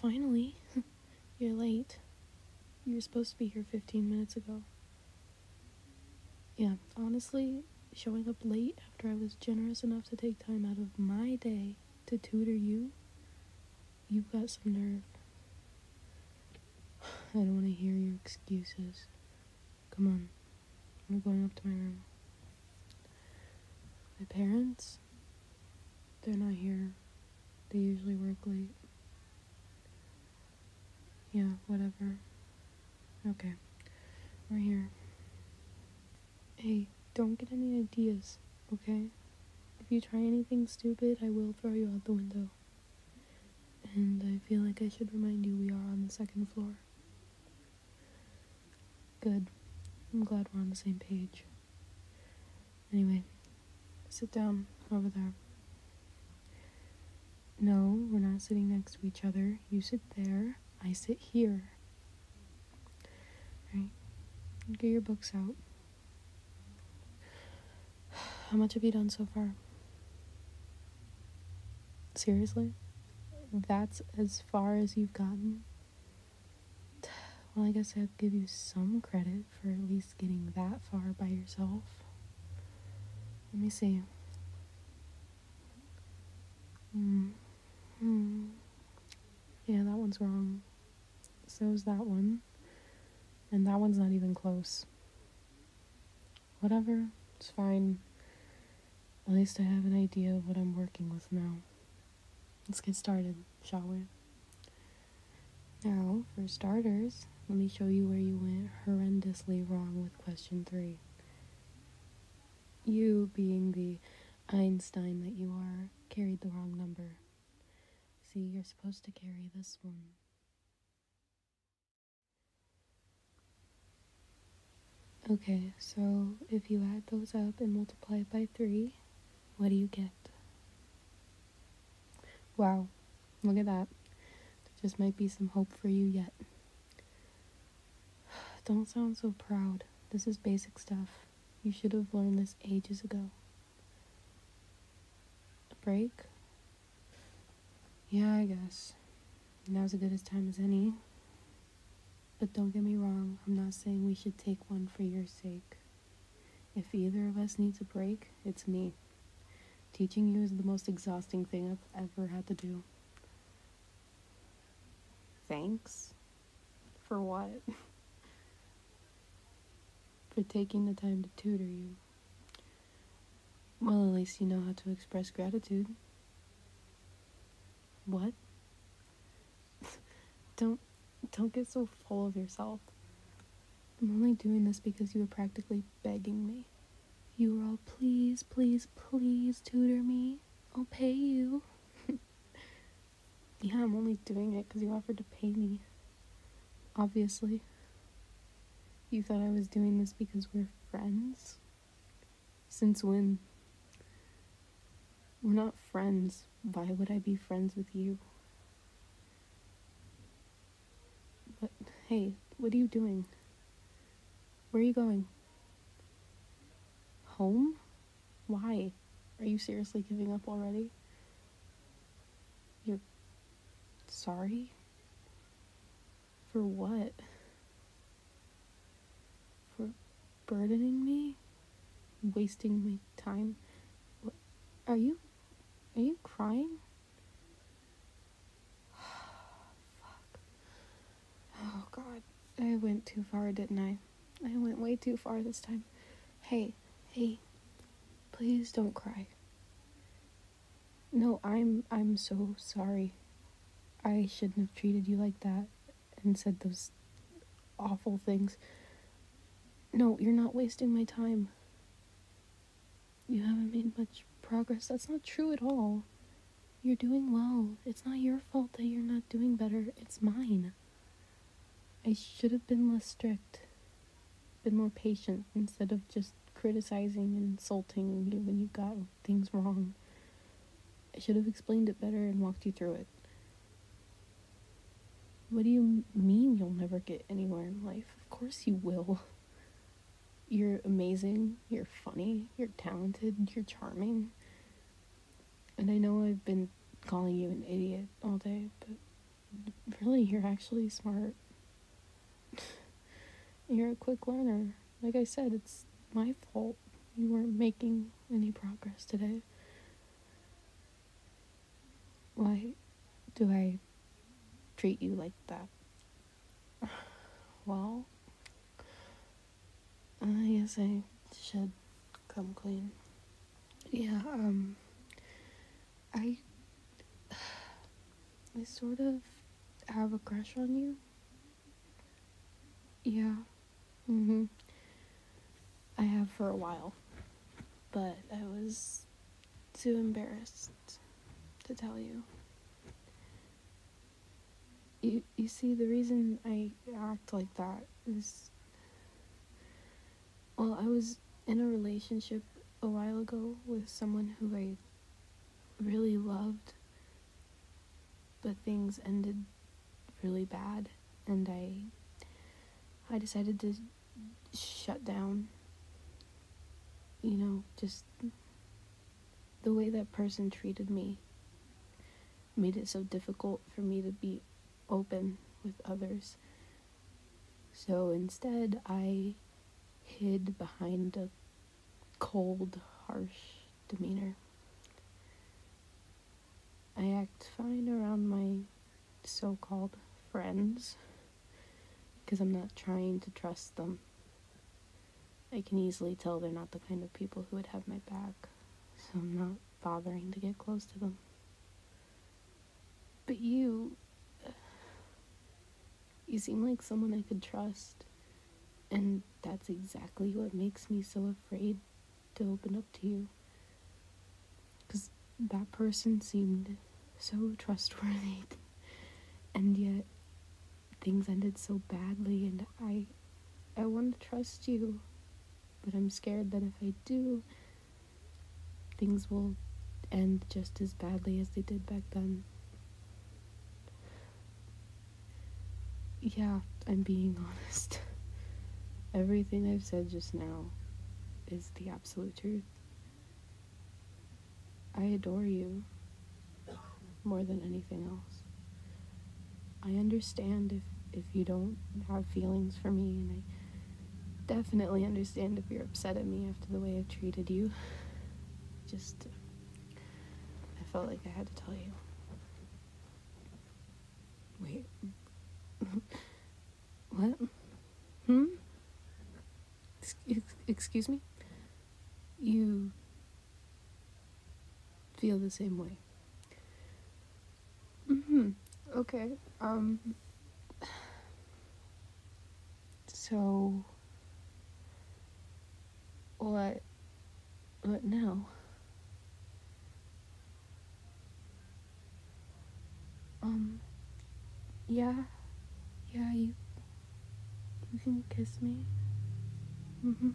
finally. You're late. You were supposed to be here 15 minutes ago. Yeah, honestly, showing up late after I was generous enough to take time out of my day to tutor you, you've got some nerve. I don't want to hear your excuses. Come on, we're going up to my room. My parents, they're not here. They usually work late. Yeah, whatever. Okay, we're here. Hey, don't get any ideas, okay? If you try anything stupid, I will throw you out the window. And I feel like I should remind you we are on the second floor. Good. I'm glad we're on the same page. Anyway, sit down over there. No, we're not sitting next to each other. You sit there, I sit here. All right. Get your books out. How much have you done so far? Seriously? That's as far as you've gotten? Well, I guess I'll give you some credit for at least getting that far by yourself. Let me see. Mm. Mm. Yeah, that one's wrong. So is that one. And that one's not even close. Whatever, it's fine. At least I have an idea of what I'm working with now. Let's get started, shall we? Now, for starters, let me show you where you went horrendously wrong with question three. You, being the Einstein that you are, carried the wrong number. See, you're supposed to carry this one. Okay, so if you add those up and multiply it by 3, what do you get? Wow, look at that. There just might be some hope for you yet. Don't sound so proud. This is basic stuff. You should have learned this ages ago. A break? Yeah, I guess. Now's as good a time as any. But don't get me wrong, I'm not saying we should take one for your sake. If either of us needs a break, it's me. Teaching you is the most exhausting thing I've ever had to do. Thanks. For what? for taking the time to tutor you. Well, at least you know how to express gratitude. What? don't don't get so full of yourself. I'm only doing this because you were practically begging me. You were all, please, please, please tutor me. I'll pay you. yeah, I'm only doing it because you offered to pay me. Obviously. You thought I was doing this because we're friends? Since when? We're not friends. Why would I be friends with you? But hey, what are you doing? Where are you going? Home? Why? Are you seriously giving up already? You're sorry? For what? for burdening me, wasting my time. are you are you crying? Oh god. I went too far, didn't I? I went way too far this time. Hey, hey. Please don't cry. No, I'm I'm so sorry. I shouldn't have treated you like that and said those awful things. No, you're not wasting my time. You haven't made much progress. That's not true at all. You're doing well. It's not your fault that you're not doing better. It's mine. I should have been less strict, been more patient instead of just criticizing and insulting you when you got things wrong. I should have explained it better and walked you through it. What do you mean you'll never get anywhere in life? Of course you will. You're amazing, you're funny, you're talented, you're charming. And I know I've been calling you an idiot all day, but really, you're actually smart. you're a quick learner. Like I said, it's my fault you weren't making any progress today. Why do I treat you like that? Well, I guess I should come clean. Yeah, um, I, I sort of have a crush on you. Yeah. Mm-hmm. I have for a while, but I was too embarrassed to tell you. You, you see, the reason I act like that is. Well, I was in a relationship a while ago with someone who I really loved, but things ended really bad and I I decided to shut down you know just the way that person treated me made it so difficult for me to be open with others so instead I hid behind a cold harsh demeanor I act fine around my so called friends because I'm not trying to trust them. I can easily tell they're not the kind of people who would have my back, so I'm not bothering to get close to them. But you. You seem like someone I could trust, and that's exactly what makes me so afraid to open up to you. Because that person seemed so trustworthy, and yet things ended so badly, and I. I want to trust you, but I'm scared that if I do, things will end just as badly as they did back then. Yeah, I'm being honest. Everything I've said just now is the absolute truth. I adore you more than anything else. I understand if, if you don't have feelings for me, and I definitely understand if you're upset at me after the way I've treated you. Just, I felt like I had to tell you. Wait. What? Hmm? Excuse me? You feel the same way. Mm-hmm. Okay. Um. So. What. What now? Um, yeah, yeah, you, you can kiss me. Mm-hmm.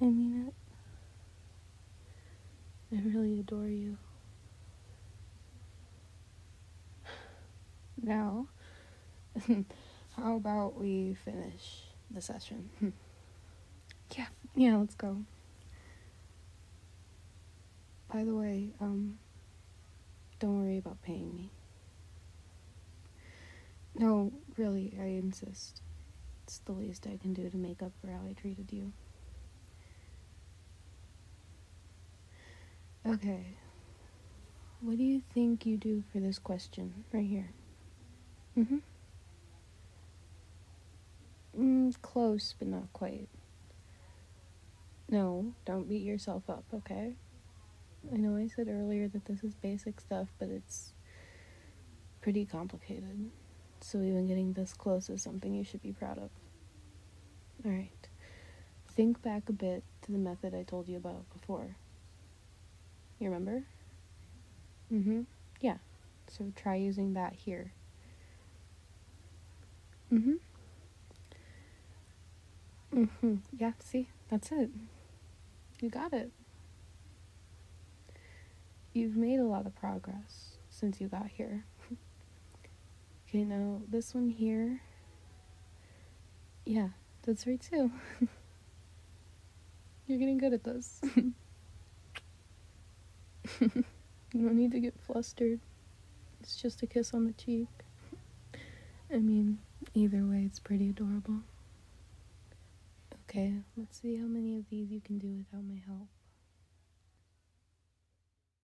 I mean it. I really adore you. Now, how about we finish the session? yeah, yeah, let's go. By the way, um, don't worry about paying me. No, really, I insist. It's the least I can do to make up for how I treated you. Okay. What do you think you do for this question right here? Mm-hmm. Mm, close, but not quite. No, don't beat yourself up, okay? I know I said earlier that this is basic stuff, but it's pretty complicated. So even getting this close is something you should be proud of. All right. Think back a bit to the method I told you about before. You remember? Mm hmm. Yeah. So try using that here. Mm hmm. Mm hmm. Yeah, see? That's it. You got it. You've made a lot of progress since you got here. Okay, now this one here. Yeah, that's right too. You're getting good at this. you don't need to get flustered. It's just a kiss on the cheek. I mean, either way, it's pretty adorable. Okay, let's see how many of these you can do without my help.